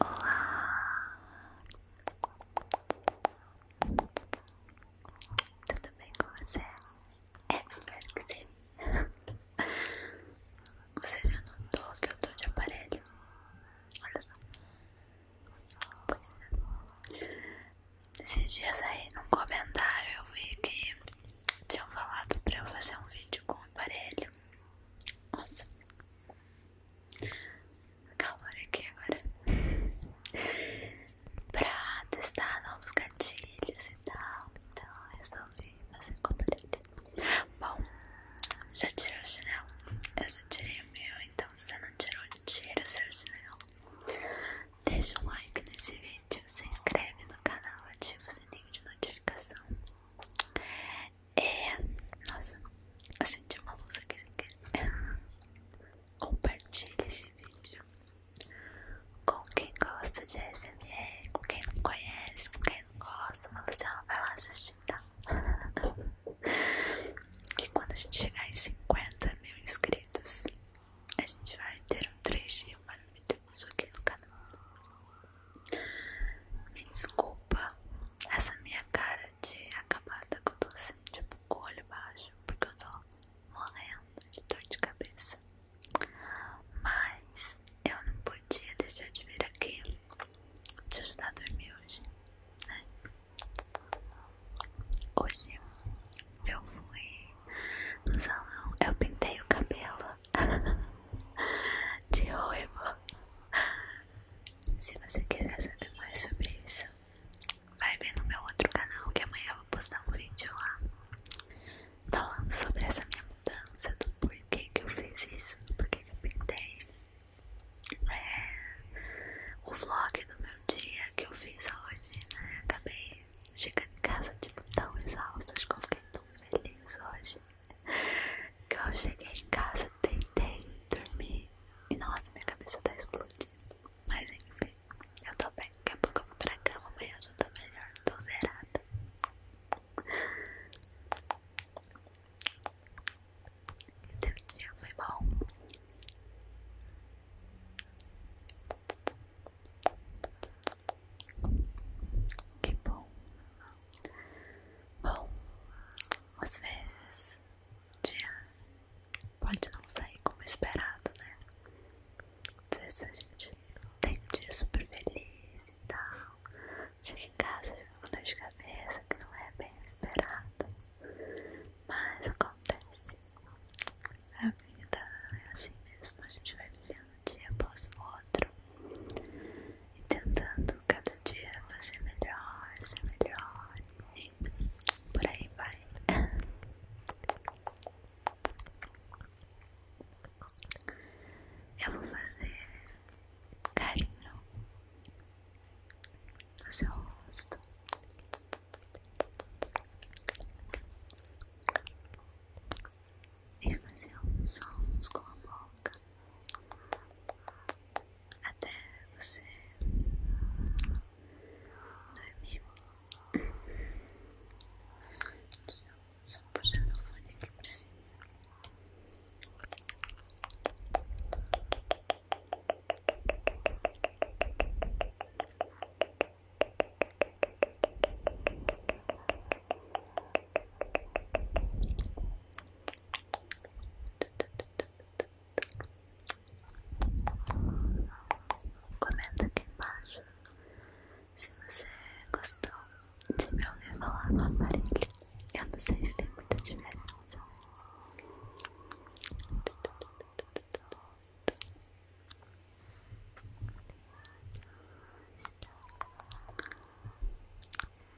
Olá! Tudo bem com você? É, espero que sim. Você já notou que eu tô de aparelho? Olha só. Pois é. Esses dias aí, num comentário, eu vi que tinham falado pra eu fazer um vídeo com o aparelho. Nossa, calor aqui agora pra testar novos gatilhos e tal. Então resolvi fazer com Bom, já tirou o chinelo? Eu já tirei o meu, então se você não tirou, tira o seu chinelo. Deixa um like nesse vídeo, se inscreve no canal, e ativa o sininho de notificação. É. Nossa, acendi uma luz aqui sem querer. Compartilhe esse vídeo com quem gosta de ASMR, com quem não conhece, com quem não gosta. Mas você não vai lá assistir, tá? E quando a gente chegar em 50 mil inscritos, a gente vai ter um trechinho maravilhoso aqui no canal. Me desculpa essa minha cara de acabada que eu tô assim, tipo, com baixo, porque eu tô morrendo de dor de cabeça. Mas eu não podia deixar de vir aqui te ajudar a dormir hoje, né? Hoje eu fui no salão, eu pintei o cabelo de ruivo se você quiser saber mais sobre isso, vai ver no meu outro canal que amanhã eu vou postar um vídeo lá falando sobre essa minha mudança, do porquê que eu fiz isso, do porquê que eu pintei. É, o vlog do meu dia que eu fiz hoje, né? acabei de chegando em casa, tipo, tão exausta. Acho que eu fiquei tão feliz hoje. que eu cheguei em casa, tentei dormir e nossa, minha cabeça tá explodindo. Mas enfim, eu tô bem. Daqui a pouco eu vou pra cama, amanhã eu já tô melhor, tô zerada. E o teu dia foi bom? Que bom. Bom, às vezes o dia pode não sair como esperado, né? Às vezes a gente tem um dia super feliz e tal. Chega em casa, chega com dor de cabeça, que não é bem esperado. Mas acontece. A vida é assim mesmo, a gente vai vivendo um dia após o outro e tentando cada dia você melhor, ser melhor, e por aí vai. Eu vou fazer carinho no seu rosto. E fazer uns sons com a boca até você dormir. Deixa só puxar meu fone aqui pra Comenta aqui embaixo se você gostou de me ouvir falar no aparelho. Eu não sei se tem muita diferença.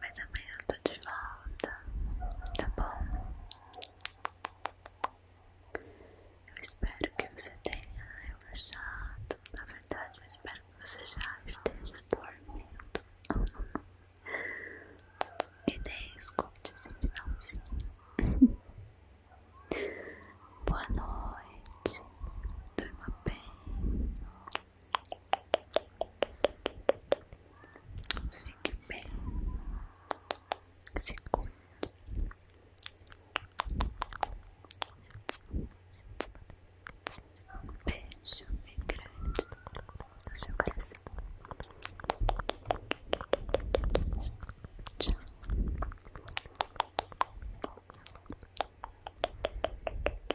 Mas amanhã eu tô de volta, tá bom? Eu espero que você tenha relaxado. Na verdade, eu espero que você já esteja dormindo. e nem escute esse finalzinho. Boa noite, durma bem. Fique bem. Se cuide. Um beijo bem grande no